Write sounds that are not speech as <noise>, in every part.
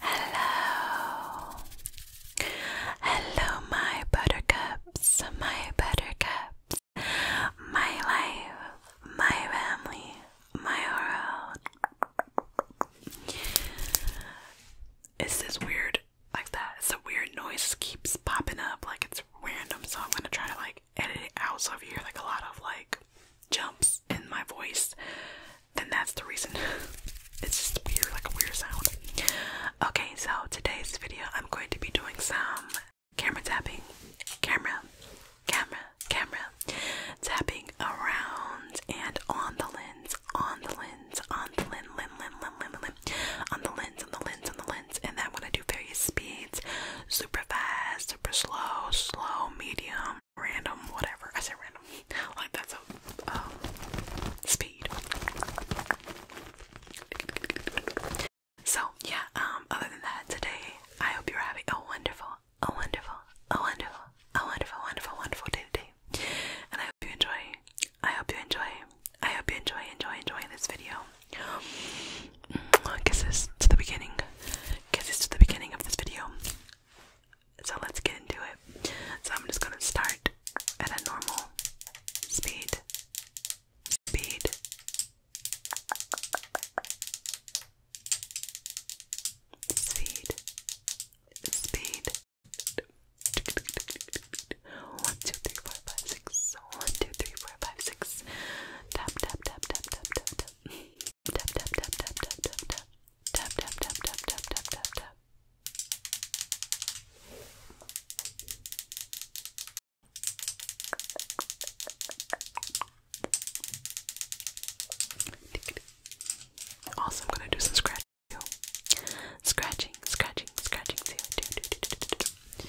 Hello. Hello, my buttercups, my buttercups, my life, my family, my world. Is this weird like that? It's a weird noise keeps popping up like it's random, so I'm gonna try to like edit it out so if you hear like a lot of like jumps in my voice then that's the reason. <laughs> it's just weird, like a weird sound. Okay, so today's video, I'm going to be doing some camera tapping, camera, camera, camera, tapping around and on the lens, on the lens, on the lens, lens, lens, lens, lens, lens, on the lens, on the lens, on the lens, and then when I do various speeds, super fast, super slow, slow, medium, random whatever. I said random. <laughs> Like that's a um, speed. So yeah, um other than that today I hope you're having a wonderful, a wonderful, a wonderful, a wonderful, wonderful, wonderful day today. And I hope you enjoy I hope you enjoy I hope you enjoy enjoy enjoying this video. Kisses to the beginning. Kisses to the beginning of this video. So let's get into it. So I'm just gonna start at a normal speed. Speed. Speed. Speed. One, two, three, four, five, six. One, two, three, four, five, six. Tap, tap, tap, tap, tap, tap, tap tap tap tap tap tap tap tap tap tap tap tap tap tap tap tap also I'm gonna do some scratching too. Scratching, scratching, scratching too. Do, do, do, do, do, do.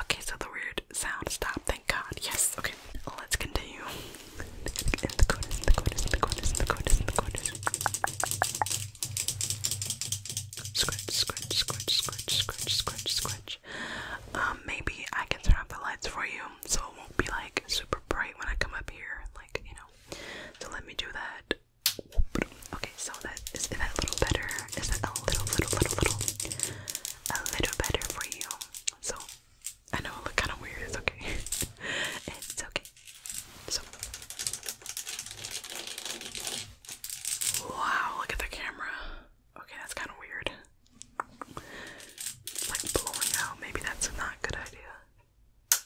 Okay, so the weird sound stopped, thank God. Yes, okay. Let's continue. In the corners, in the corners, in Um, maybe I can turn off the lights for you so it won't be like super bright when I come up here, like, you know. So let me do that. Okay, so that is that a little better? Is that a little, little, little, little, a little better for you? So I know it looks kind of weird. It's okay. <laughs> it's okay. So wow, look at the camera. Okay, that's kind of weird. It's like blowing out. Maybe that's not a good idea.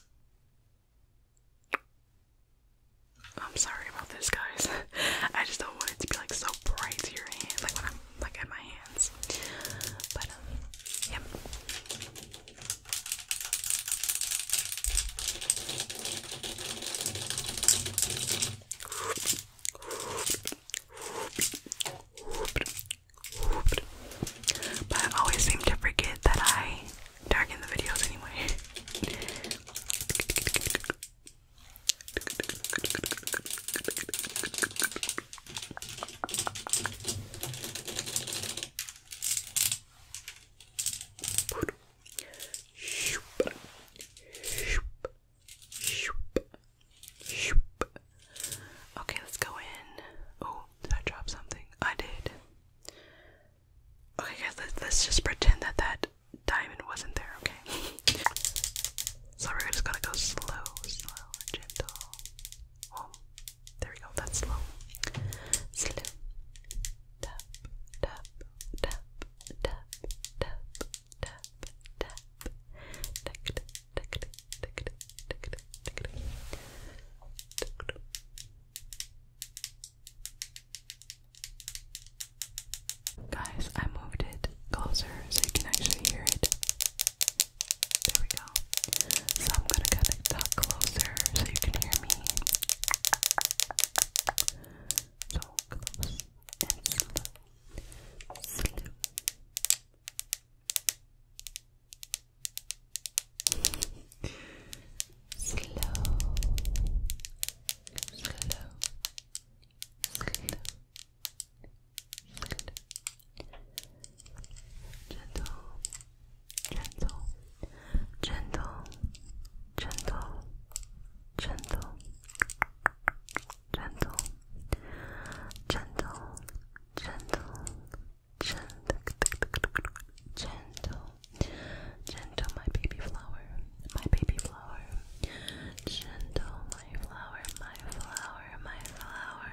I'm sorry about this, guys. <laughs> I just don't want it to be like so bright to your hands, like when I'm like at my hands. But um, But I always seem to forget that I tagging the videos anyway. Okay, let's go in. Oh, did I drop something? I did. Okay, guys, let's, just pretend that that diamond wasn't there, okay? so we're just gonna go slow, slow, gentle. there we go, that's slow. Slow. Tap, tap, tap, tap, tap, tap, tap. Tick, tick, tick, tick, tick, Guys, I moved it closer so you can actually hear it. There we go. So I'm gonna cut it that closer so you can hear me. So close and Slow. Slow. Slow, slow, slow, gentle, gentle, gentle, gentle, gentle, gentle, gentle, gentle, gentle, gentle, gentle, my baby flower, my baby flower, gentle, my flower, my flower, my flower.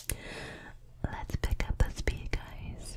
Let's pick up the speed, guys.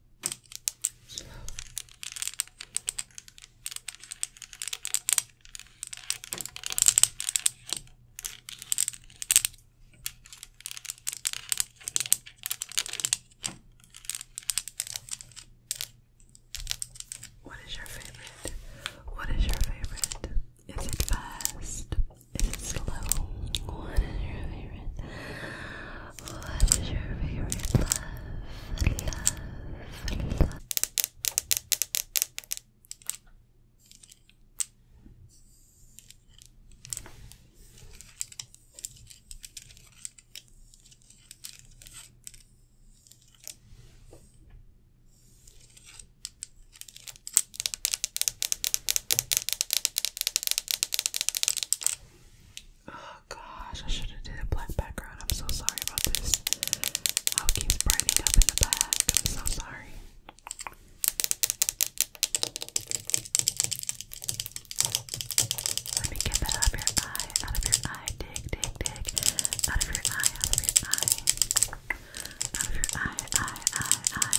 What is your favorite? What is your favorite? Is it fast? Is it slow? What is your favorite? What is your favorite love? Love, Oh gosh, I should have did a black background. I'm so sorry about this. How keeps brightening up in the back. I'm so sorry. Let me get that out of your eye, out of your eye, dig, dig, dig, out of your eye, out of your eye, out of your eye, eye, eye, eye.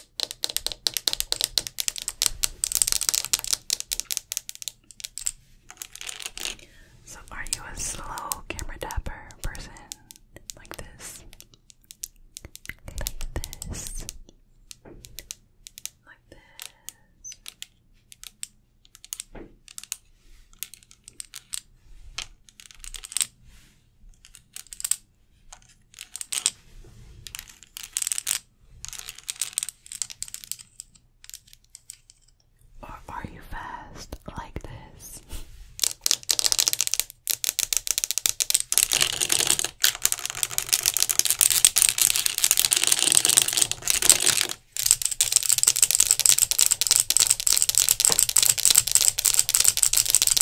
So, are you a slow camera dapper person? Like this? Like this? Like this? Or are you fast like this?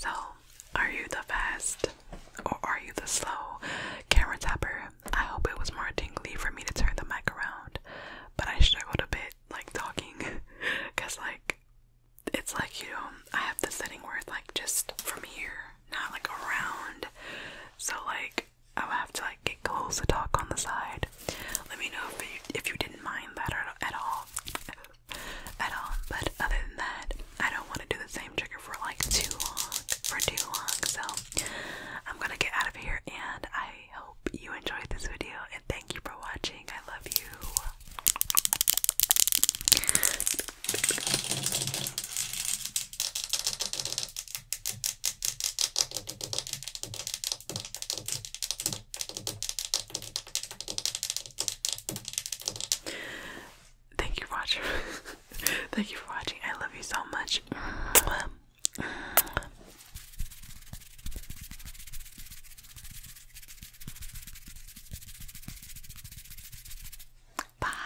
So, are you the fast or are you the slow camera tapper? I hope it was more tingly for me to turn the mic around, but I struggled a bit like talking because, <laughs> like, it's like you know, I have the setting where it's like just from here, not like around. So, like, I would have to like get close to talk on the side. Let me know if you, if you didn't mind that or, at all, at all. But other than that, I don't want to do the same trigger for like too long, for too long. So I'm gonna get out of here, and I hope you enjoyed this video. And thank you for watching. I love you. Thank you, Roger. <laughs> Thank you for watching. I love you so much. Bye.